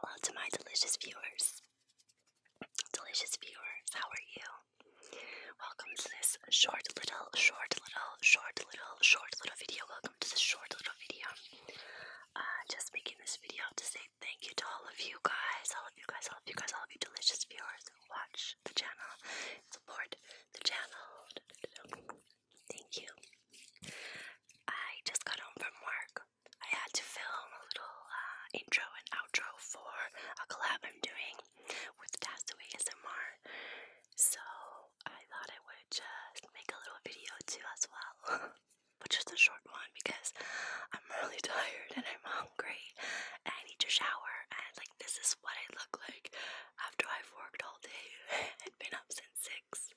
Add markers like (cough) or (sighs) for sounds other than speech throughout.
Hello oh, to my delicious viewers. Delicious viewers, how are you? Welcome to this short little, short little, short little, short little video. Welcome to this short little video. Uh, just making this video to say thank you to all of you guys, all of you guys, all of you guys, all of you delicious viewers watch the channel, support the channel. Thank you. I just got home from work. I had to film a little uh, intro and outro for a collab I'm doing with Tassaway ASMR. So I thought I would just make a little video too as well. (laughs) but just a short one because I'm really (laughs) tired and I'm hungry and I need to shower and like this is what I look like after I've worked all day (laughs) and been up since 6.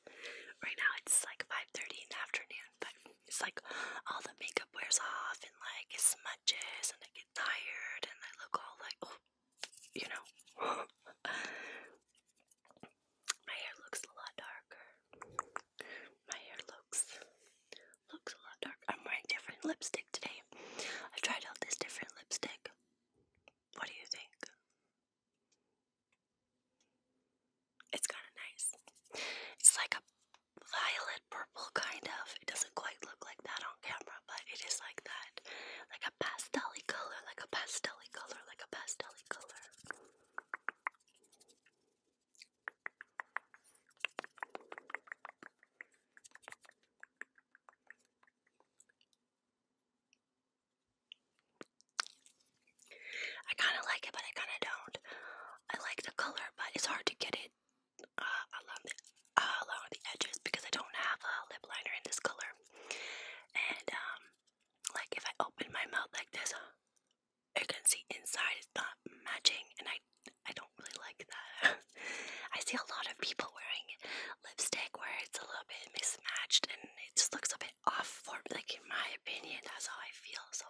Right now it's like 5.30 in the afternoon, but it's like all the makeup wears off and like it smudges and I get tired and I look all like, oh, you know. (gasps) My hair looks a lot darker. My hair looks, looks a lot darker. I'm wearing different lipstick today. I've tried out this different lipstick. What do you think? It's kind of nice. It's like a violet purple kind of. It doesn't quite look like that on camera, but it is like that. Like a pastel color, like a pastel color, like a pastel color. I kind of like it, but I kind of don't. I like the color, but it's hard to get it uh, uh, along, the, edges because I don't have a lip liner in this color. And, um, like, if I open my mouth like this, you can see inside it's not matching, and I, I don't really like that. (laughs) I see a lot of people wearing lipstick where it's a little bit mismatched and it just looks a bit off for like in my opinion that's how I feel so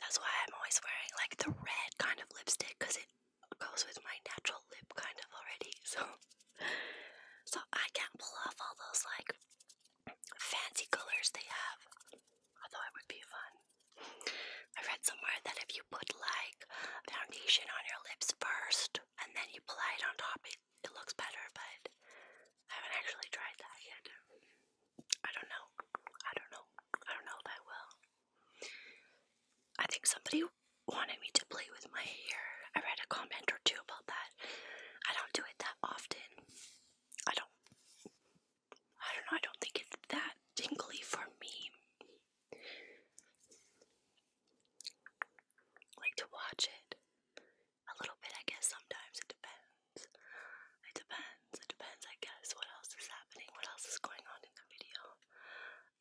that's why I'm always wearing like the red kind of lipstick because it goes with my natural lip kind of already (laughs) so so I can't pull off all those like fancy colors they have although it would be fun I read somewhere that if you put like foundation on your lips first and then you apply it on top. It, it looks better, but I haven't actually tried that yet. I don't know. I don't know. I don't know if I will. I think somebody wanted me to play with my hair. I read a comment or two about that. I don't do it that often. I don't. I don't know. I don't think it's that tingly for me like to watch it a little bit, I guess. Sometimes it depends. It depends. It depends, I guess, what else is happening, what else is going on in the video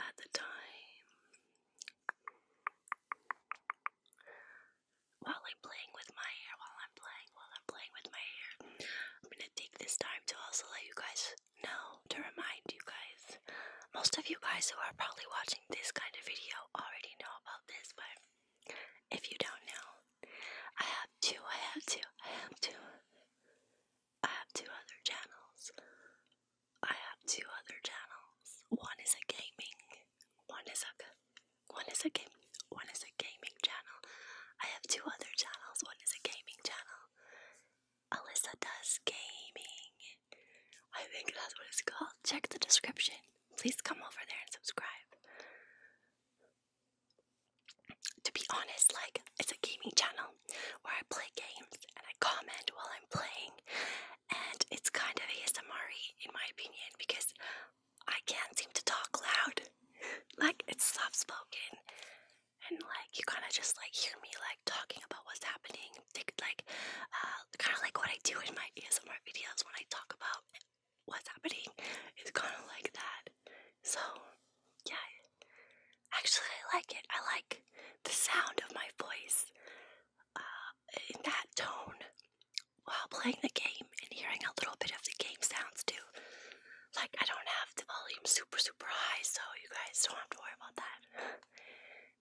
at the time. While I'm playing with my hair, while I'm playing, while I'm playing with my hair, I'm gonna take this time to also let you guys know, to remind you guys most of you guys who are probably watching this kind of video already know about this, but if you don't know, I have two, I have two, I have two, I have two other channels. I have two other channels. One is a gaming, one is a, one is a game, one is a gaming channel. I have two other channels. One is a gaming channel, Alyssa Does Gaming. I think that's what it's called. Check the description. Please come over there and subscribe. To be honest, like, it's a gaming channel where I play games and I comment while I'm playing, and it's kind of ASMR in my opinion because I can't seem to talk loud. (laughs) Like, it's soft spoken, and like, you kind of just like hear me like talking about what's happening thing. like, uh, kind of like what I do in my ASMR videos when I talk about what's happening. It's kind of like that. So, yeah. Actually, I like it. I like the sound of my voice uh, in that tone while playing the game and hearing a little bit of the game sounds too. Like, I don't have the volume super, super high, so you guys don't have to worry about that. (laughs)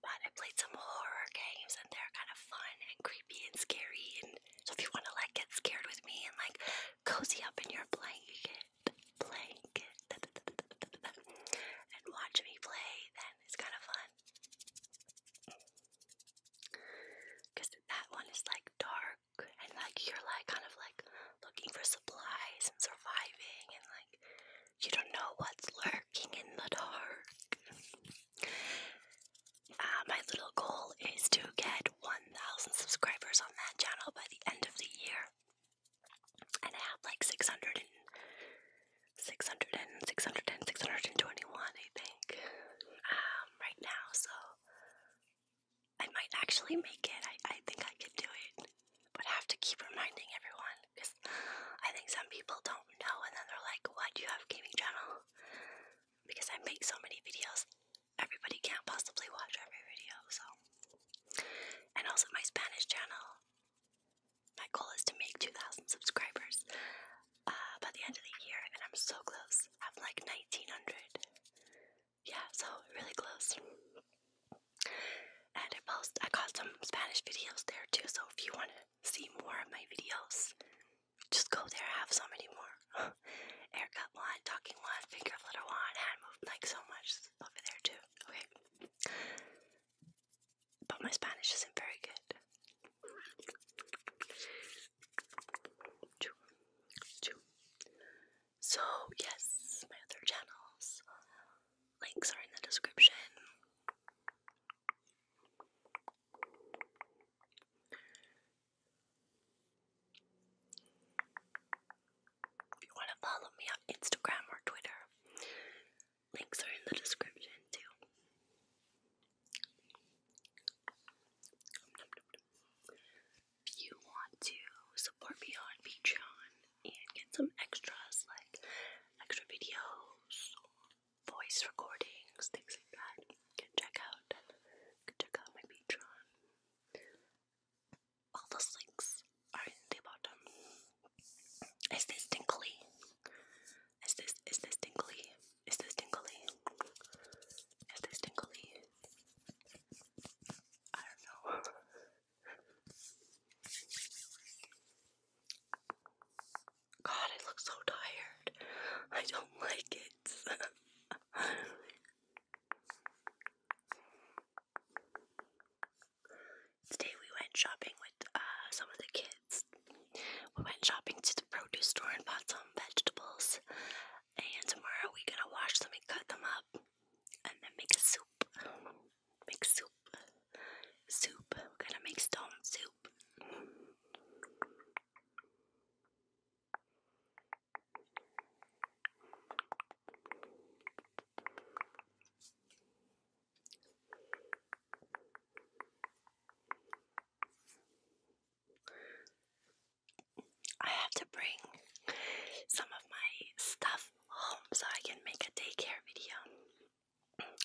But I played some horror games and they're kind of fun and creepy and scary. And so if you want to like get scared with me and like cozy up in your blanket, blanket, (laughs) and watch me play, then it's kind of fun. Because that one is like dark and like you're like kind of like looking for supplies and surviving and like you don't know what's lurking lurking in the dark. Uh, my little goal is to get 1,000 subscribers on that channel by the end of the year. And I have like 600 and 600 and 600 and 621, I think, um, right now. So I might actually make it. I, I think I could do it, but I have to keep reminding everyone because I think some people don't know and then they're like, why do you have a gaming channel? Because I make so many videos, everybody can't possibly watch every video, so. And also my Spanish channel, my goal is to make 2,000 subscribers uh, by the end of the year and I'm so close. i have like 1,900. Yeah, so really close. And I post, I got some Spanish videos there too, so if you want to see more of my videos, just go there. I have so many more. Haircut (laughs) one, talking one, finger flutter one, hand movement, like so much over there too. Okay. But my Spanish isn't very good. So, yes, my other channels. Links are in the description. If you want to follow me on Instagram or Twitter, links are in the description too. If you want to support me on Patreon and get some extras like extra videos, voice recordings, things like that. can check out, can check out my Patreon. All those links are in the bottom. Is this tingly? Is this is this tingly? Is this tingly? Is this tingly? I don't know. (laughs) God, I look so tired. I don't (laughs) like it. (laughs) Today we went shopping with uh, some of the kids. We went shopping to the produce store and bought some vegetables. And tomorrow we're gonna wash them and cut them up and then make a soup. Make soup. Soup. We're gonna make stone soup. I have to bring some of my stuff home so I can make a daycare video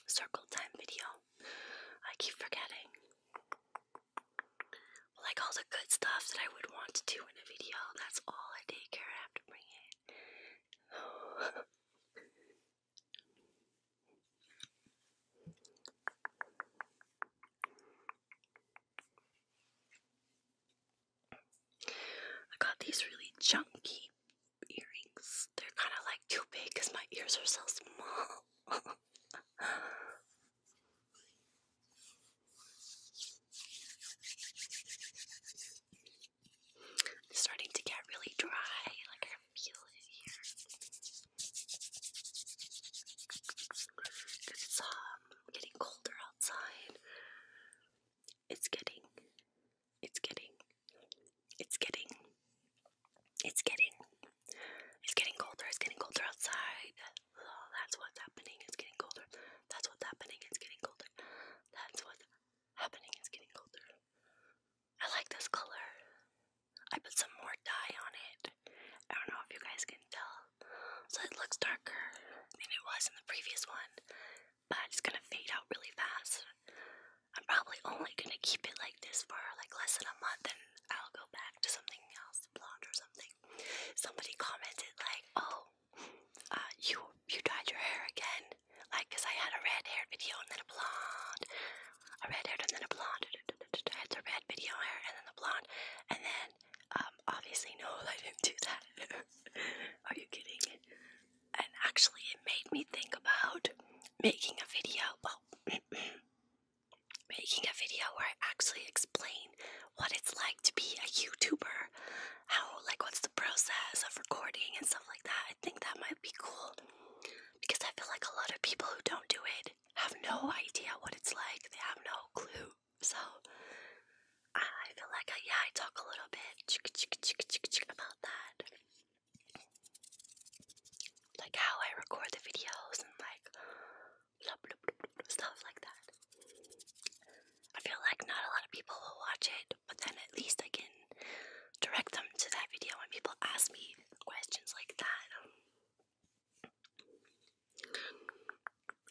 circle time video. I keep forgetting. Like all the good stuff that I would want to do in a video, that's all I take care I have to bring (sighs) I got these really chunky earrings. They're kind of like too big my ears are so small. (laughs) starting to get really dry, like I feel it here. it's um, getting colder outside. It's getting it's getting, it's getting, it's getting, it's getting colder. It's getting colder outside. Oh, that's what's happening. It's getting colder. That's what's happening. It's getting colder. That's what's happening. It's getting colder. I like this color. I put some more dye on it. I don't know if you guys can tell. So it looks darker than it was in the previous one, but it's gonna fade out really fast. I'm probably only gonna keep it like this for like less than a month and I'll go back to something else, blonde or something. Somebody commented like, oh, uh, you you dyed your hair again. Like, cause I had a red hair video and then a blonde. A red hair and then a blonde. I had the red video hair and then the blonde. And then, um, obviously no, (laughs) I didn't do that. (laughs) Are you kidding? And actually it made me think about making a video, well, (clears throat) making a video where I actually explain what it's like to be a YouTuber, how, like, what's the process of recording and stuff like that. I think that might be cool because I feel like a lot of people who don't do it have no idea what it's like, they have no clue. So, I feel like, I, uh, yeah, I talk a little bit about that like how I record the videos and like stuff like that. I feel like not a lot of people will watch it, but then at least I can direct them to that video when people ask me questions like that.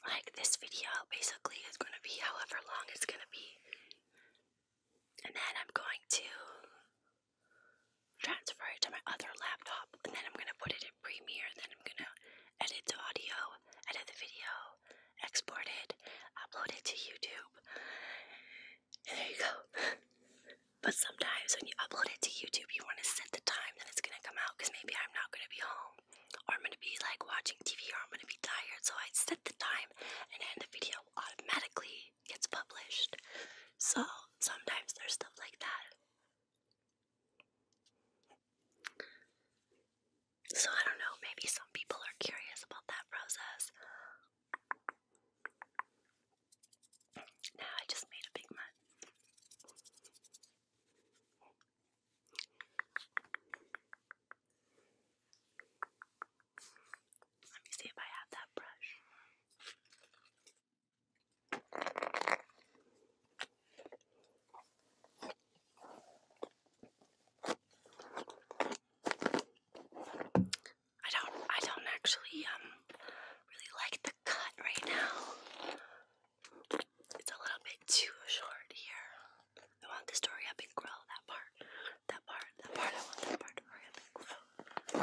Like this video basically is going to be however long it's going to be. And then I'm going to transfer it to my other laptop, and then I'm gonna put it in Premiere, then I'm gonna edit the audio, edit the video, export it, upload it to YouTube. And there you go. (laughs) but sometimes when you upload it to YouTube, you wanna set the time that it's gonna come out, because maybe I'm not gonna be home, or I'm gonna be like watching TV, or I'm gonna be tired, so I set the time, and end the video automatically gets published. So sometimes there's stuff like that. So I don't know, maybe some people are curious about that process. Now I just made a big mess. Let me see if I have that brush. I don't I don't actually um really like the cut right now. It's a little bit too short here. I want this to grow that part. That part, that part, I want that part to grow.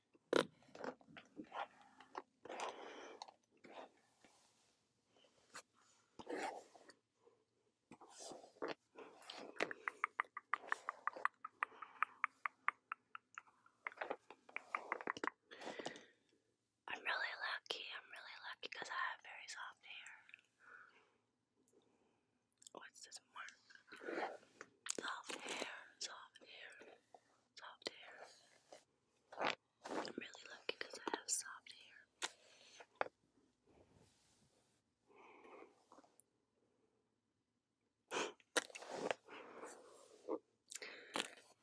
I'm really lucky, I'm really lucky because I have very soft hair. What's this mark? Soft hair, soft hair soft hair. I'm really lucky because I have soft hair.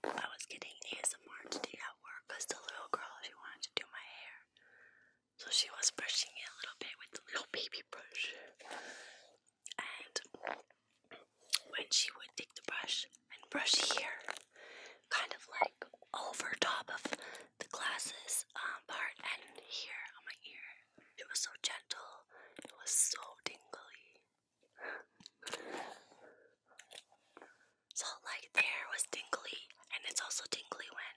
I was getting ASMR today at work because the little girl, she wanted to do my hair. So she was brushing it a little bit with the little baby brush and when she would take the brush and brush here, kind of like over top of the glasses um, part and here on my ear, it was so gentle, it was so tingly. So like there was tingly and it's also tingly when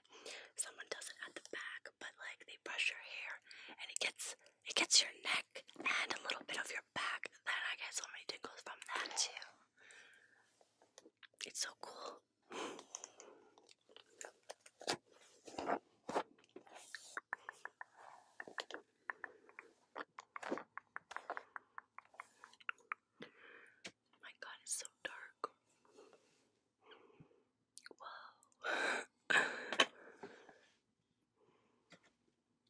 someone does it at the back but like they brush your hair and it gets it gets your neck and a little bit of your back. Then I get so many tingles from that too. It's so cool. My god, it's so dark. Whoa. (laughs)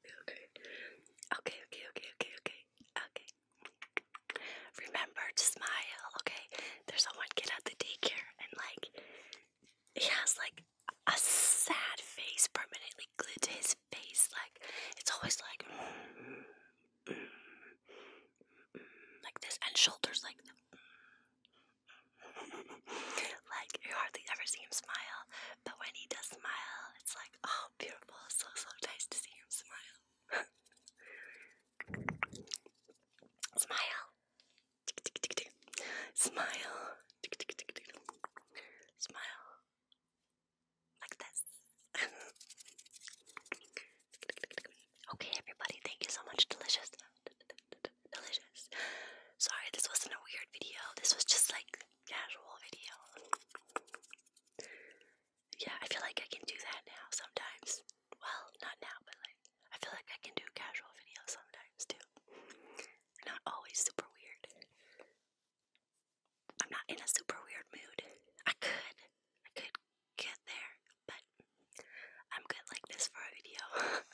okay, okay, okay, okay, okay, okay, okay. Remember to smile, okay? There's a one kid at the daycare, and like, he has like a sad face permanently glued to his face. Like, it's always like, mm, mm, mm, like this, and shoulders like. (laughs) like you hardly ever see him smile but when he does smile, it's like, oh, beautiful. So, so nice to see him smile. (laughs) smile. Smile. Smile. Like this. okay, everybody, thank you so much. Delicious. Delicious. Sorry, this wasn't a weird video. This was just like casual video. Yeah, I feel like I can do that now sometimes. Well, not now, but like, I feel like I can do casual videos sometimes too. Not always super weird. I'm not in a super weird mood. I could, I could get there, but I'm good like this for a video. (laughs)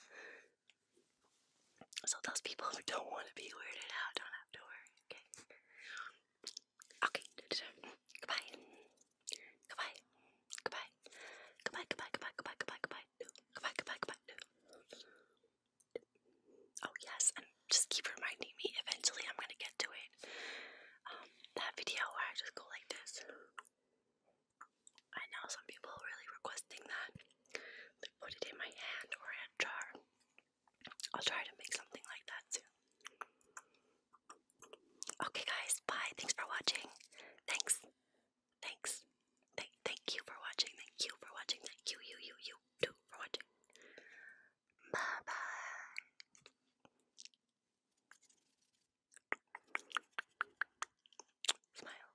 So those people who don't want to be weirded out don't have to worry, okay? Okay, goodbye. Goodbye. Goodbye. Goodbye, goodbye, goodbye, goodbye, goodbye, goodbye. Goodbye, goodbye, goodbye. Oh yes, and just keep reminding me, eventually I'm gonna get to it. Um, that video where I just go like this. I know some people really requesting that put it in my hand or in a jar. I'll try to make something like that soon. Okay, guys, bye. Thanks for watching. Thanks. Thanks. Thank, thank you for watching. Thank you for watching. Thank you, you, you, you too for watching. Bye bye. Smile.